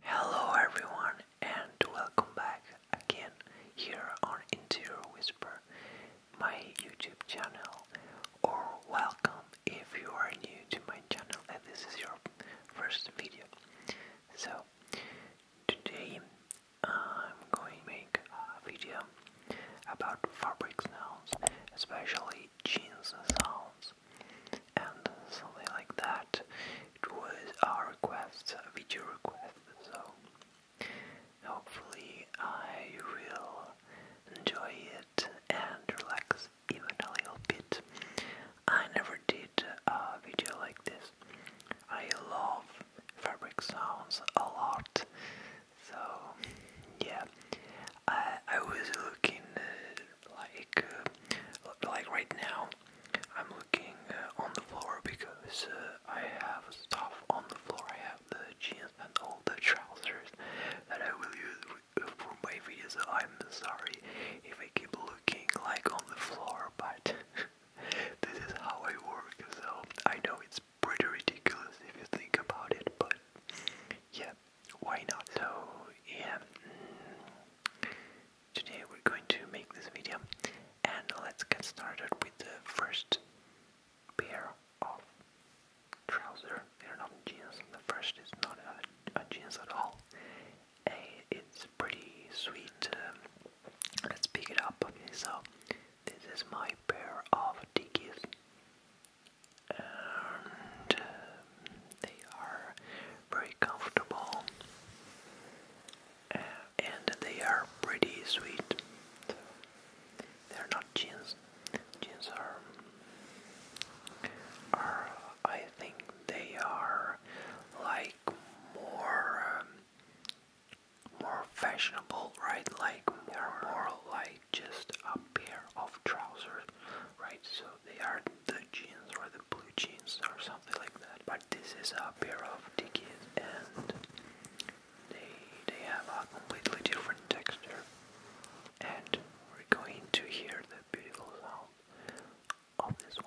Hello everyone and welcome back again here on Interior Whisper, my YouTube channel, or welcome if you are new to my channel and this is your first video. So today I'm going to make a video about fabric sounds, especially jeans sounds, and something like that. It was a request, a video request, so hopefully I will enjoy it and relax even a little bit. I never did a video like this I love fabric sounds a lot. So yeah, I I was looking uh, like uh, like right now. I'm looking uh, on the floor because uh, I have stuff on the floor. I have the jeans and all the trousers that I will use for my videos. I'm sorry if I keep looking like on the floor, but. This is how I work, so I know it's pretty ridiculous if you think about it, but yeah, why not? So, yeah, mm, today we're going to make this video, and let's get started with the first pair of trousers. They're not jeans, the first is not a jeans at all, it's pretty sweet. let's pick it up. so this is my pair of dickies, and um, they are very comfortable, uh, and they are pretty sweet. they're not jeans. Jeans are, are I think they are like more. Um, more fashionable, right? Like more, like just a pair of trousers, right? So they are the jeans or the blue jeans or something like that. But this is a pair of dickies, and they they have a completely different texture. And we're going to hear the beautiful sound of this one.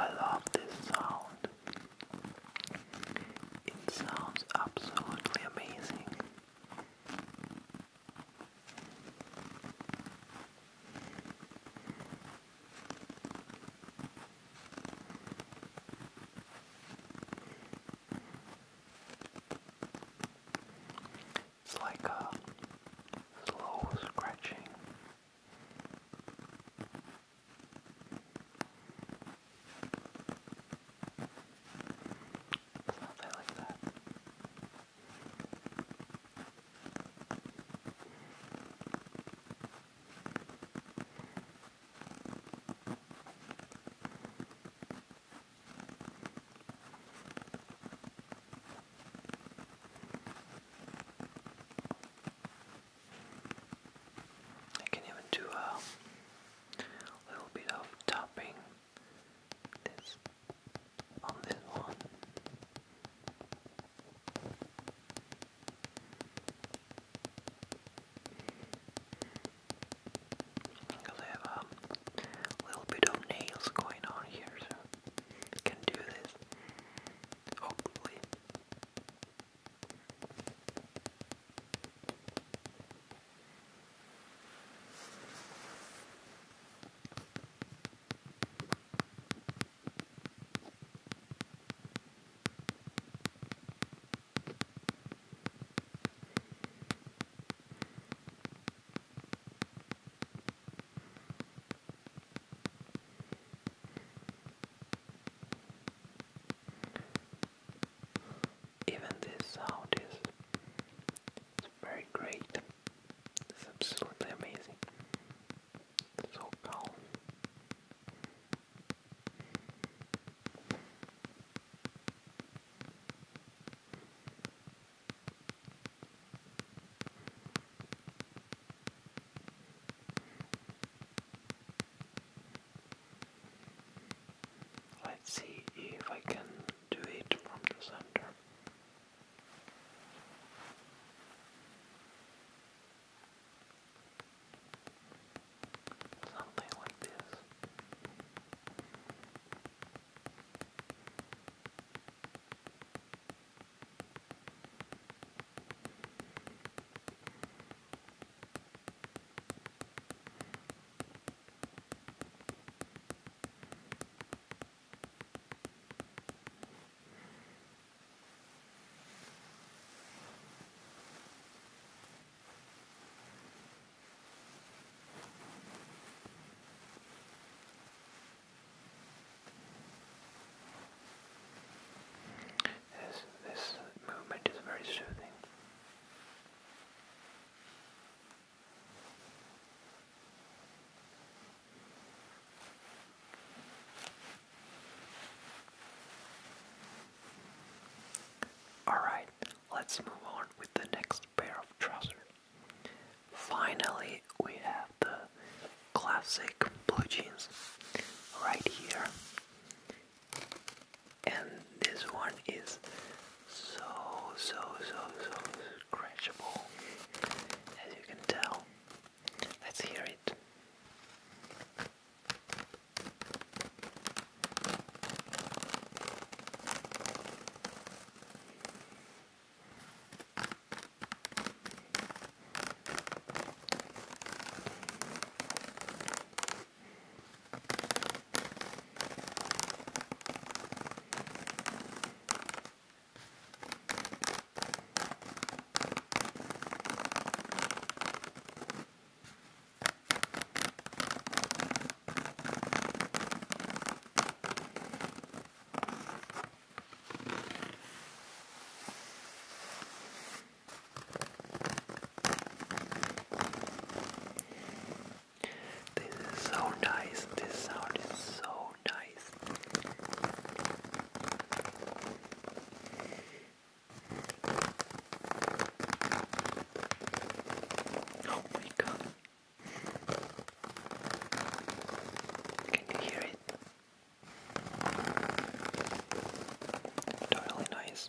I love this sound. It sounds absolutely amazing. It's like a uh, slow scratching. Something like that. I can even do a little bit of tapping this on this one. Because I um, a little bit of nails going on here, can do this. Hopefully. Even this sound is it's very great. It's absolutely amazing. Let's see if I can do it from the center. Something like this. This, this movement is very soothing. Alright, let's move on with the next pair of trousers. Finally, we have the classic blue jeans right here. And this one is so, so, so, so scratchable. As you can tell, Let's hear it. This is so nice. This sound is so nice. Oh my god. Can you hear it? Totally nice.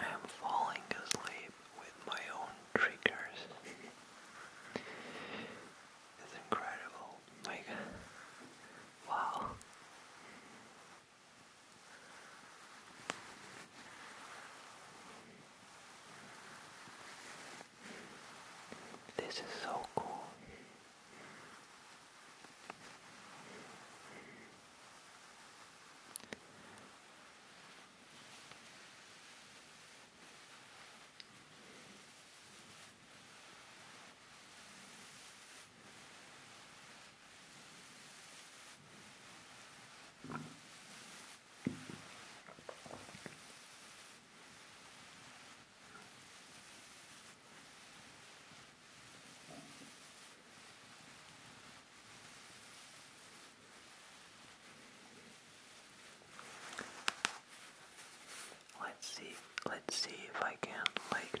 I am falling asleep with my own triggers. it's incredible. My Wow. This is so cool. Let's see, let's see if I can like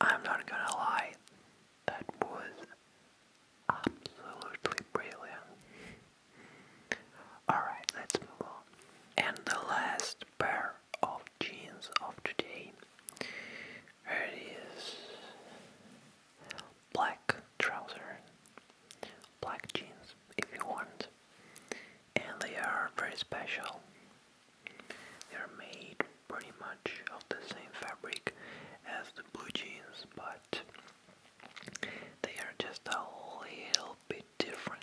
I'm not gonna lie, that was absolutely brilliant. Alright, let's move on. And the last pair of jeans of today it is black trousers, black jeans if you want and they are very special. They are made pretty much of the same fabric as the blue jeans, but they are just a little bit different.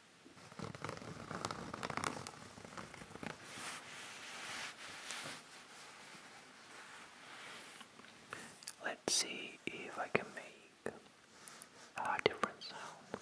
Let's see if I can make a different sound.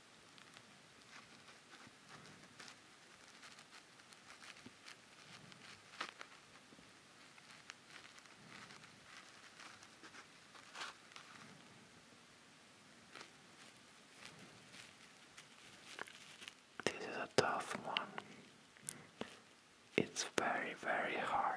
This is a tough one. It's very, very hard.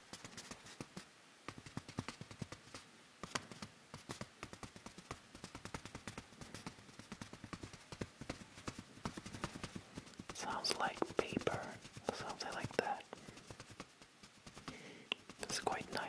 Sounds like paper, something like that. It's quite nice.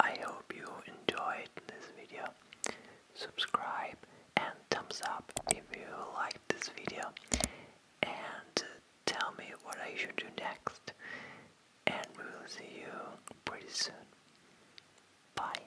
I hope you enjoyed this video. Subscribe and thumbs up if you liked this video. And tell me what I should do next. And we will see you pretty soon. Bye.